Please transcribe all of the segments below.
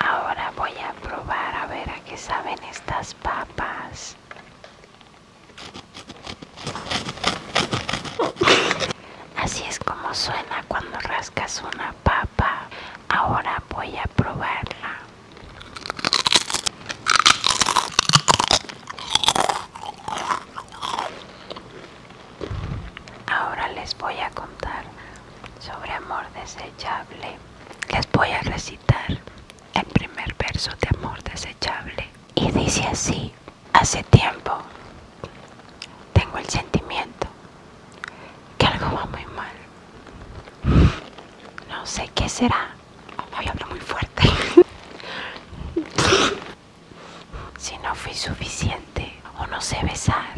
Ahora voy a probar a ver a qué saben estas papas. Así es como suena cuando rascas una papa. Ahora voy a probarla. Ahora les voy a contar sobre amor desechable. Les voy a recitar el primer verso de amor desechable. Y dice así, hace tiempo tengo el sentimiento que algo va muy mal. No sé qué será. Hoy hablo muy fuerte. si no fui suficiente o no sé besar.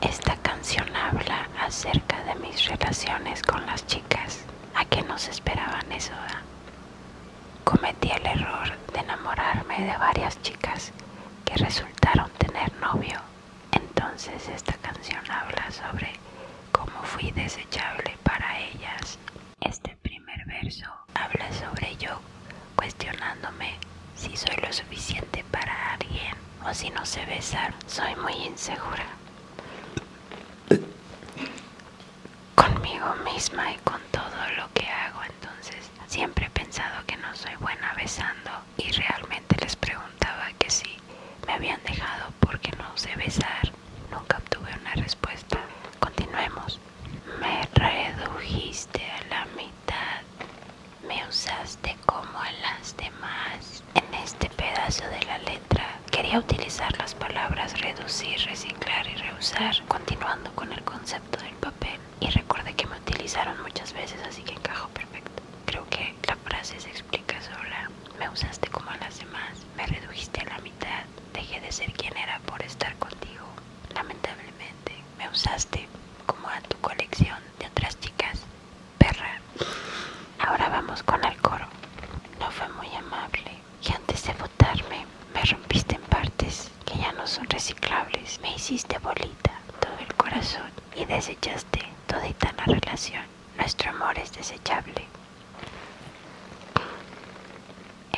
Esta canción habla acerca de mis relaciones con las chicas. ¿A qué nos esperaban eso? Ah? Cometí el error de enamorarme de varias chicas que resultaron tener novio entonces esta canción habla sobre cómo fui desechable para ellas. Este primer verso habla sobre yo cuestionándome si soy lo suficiente para alguien o si no sé besar. Soy muy insegura conmigo misma y con todo lo que hago. Entonces siempre he pensado que no soy buena besando y realmente les preguntaba que si me habían dejado porque no sé besar. Nunca obtuve una respuesta. Continuemos. Me redujiste a la mitad. Me usaste como a las demás. En este pedazo de la letra quería utilizar las palabras reducir, reciclar y reusar, continuando con el concepto del papel y recordé que me utilizaron muchas veces así que encajo perfecto. Creo que la frase se explica sola. Me usaste como a las demás, me redujiste a la mitad, dejé de ser quien era por estar contigo. Lamentablemente, me usaste como a tu colección de otras chicas. Perra. Ahora vamos con el coro. No fue muy amable y antes de votarme me rompiste en partes que ya no son reciclables. Me hiciste bolita, todo el corazón y desechaste todita la relación. Nuestro amor es desechable.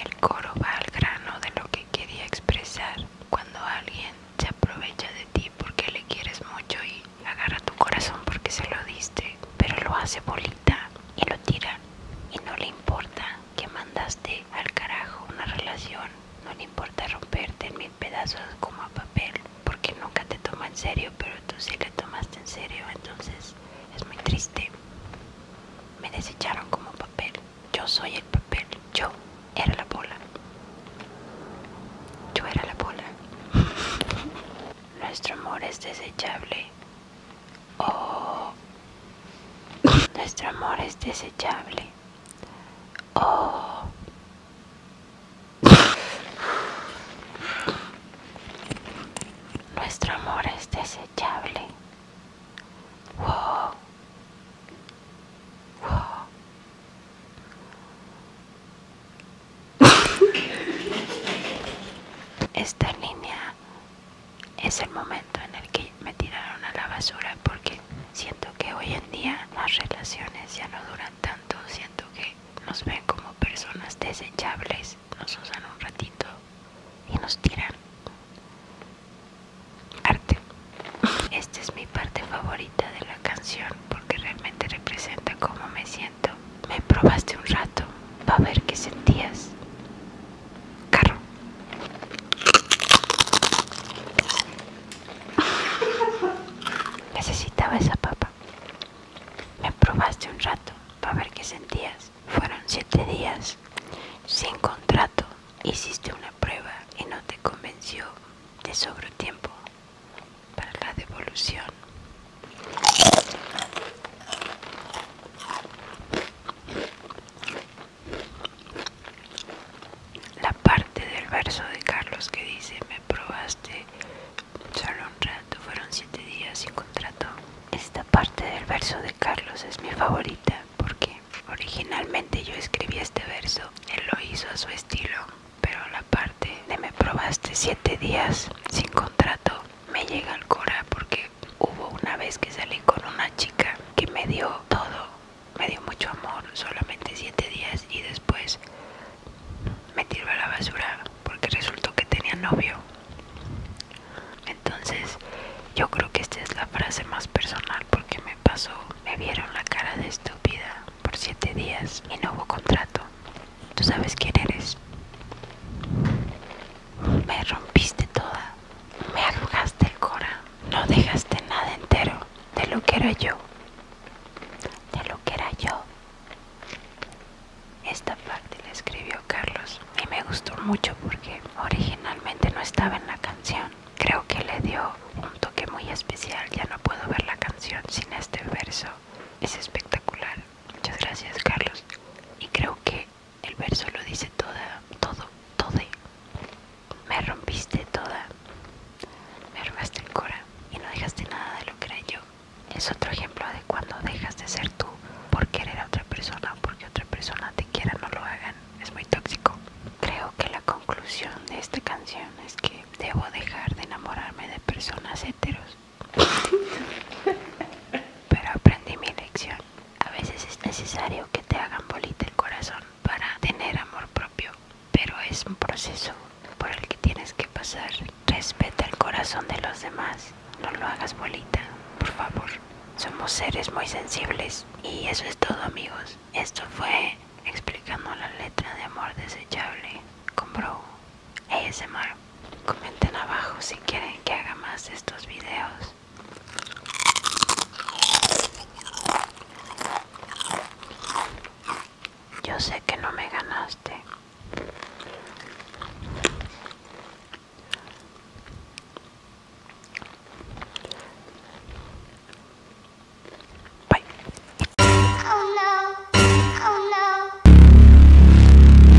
El coro va al grano de lo que quería expresar. Cuando alguien se aprovecha de ti porque le quieres mucho y agarra tu corazón porque se lo diste, pero lo hace bolita y lo tira y no le importa que mandaste al carajo una relación, no le importa romperte en mil pedazos como a papel, porque nunca te toma en serio, pero tú sí la tomaste en serio, entonces es muy triste. Me desecharon como papel, yo soy el papel, yo era la bola. Yo era la bola. Nuestro amor es desechable. Oh. Nuestro amor es desechable. Oh. Nuestro amor es desechable. Esta línea es el momento en el que me tiraron a la basura porque siento que hoy en día las relaciones ya no duran tanto, siento que nos ven como personas desechables, nos usan un ratito y nos tiran. Arte. Esta es mi parte favorita de la canción porque realmente representa cómo me siento. Me probaste un rato para ver qué sentías carro. Necesitaba esa papa. Me probaste un rato para ver qué sentías. Fueron siete días sin contrato. Hiciste una prueba y no te convenció. De sobre tiempo para la devolución la parte del verso de Carlos que dice me probaste solo un rato fueron siete días sin contrato esta parte del verso de Carlos es mi favorita porque originalmente yo escribí este verso él lo hizo a su estilo pero la parte de me probaste siete días sin contrato me llega al cora porque hubo una vez que salí con una chica que me dio todo, me dio mucho amor, solamente siete días y después me tiró a la basura porque resultó que tenía novio. Entonces yo creo que esta es la frase más personal porque me pasó, me vieron la cara de estúpida por siete días y no hubo contrato. Tú sabes quién eres. Me rompiste toda, me arrugaste el cora, no dejaste nada entero de lo que era yo, de lo que era yo. Esta parte la escribió Carlos y me gustó mucho porque originalmente no estaba en la canción. Creo que le dio un toque muy especial, ya no puedo ver la canción sin este verso. Es espectacular. Muchas gracias Carlos. Y creo que el verso lo dice toda, todo, todo. Me rompiste toda, me robaste el cora y no dejaste nada de lo que era yo. Es otro ejemplo de cuando dejas de ser tú por querer a otra persona, porque otra persona te quiera, no lo hagan. Es muy tóxico. Creo que la conclusión de esta canción es que debo dejar de enamorarme de personas heteros. Pero aprendí mi lección. A veces es necesario que te hagan bolita el corazón para tener amor propio, pero es un proceso por el que tienes que pasar. Respeta el corazón de los demás, no lo hagas bolita, por favor. Somos seres muy sensibles y eso es todo amigos. Esto fue explicando la letra de amor desechable con Bro ASMR comenten abajo si quieren que haga más estos videos yo sé que no me ganaste Bye. Oh, oh,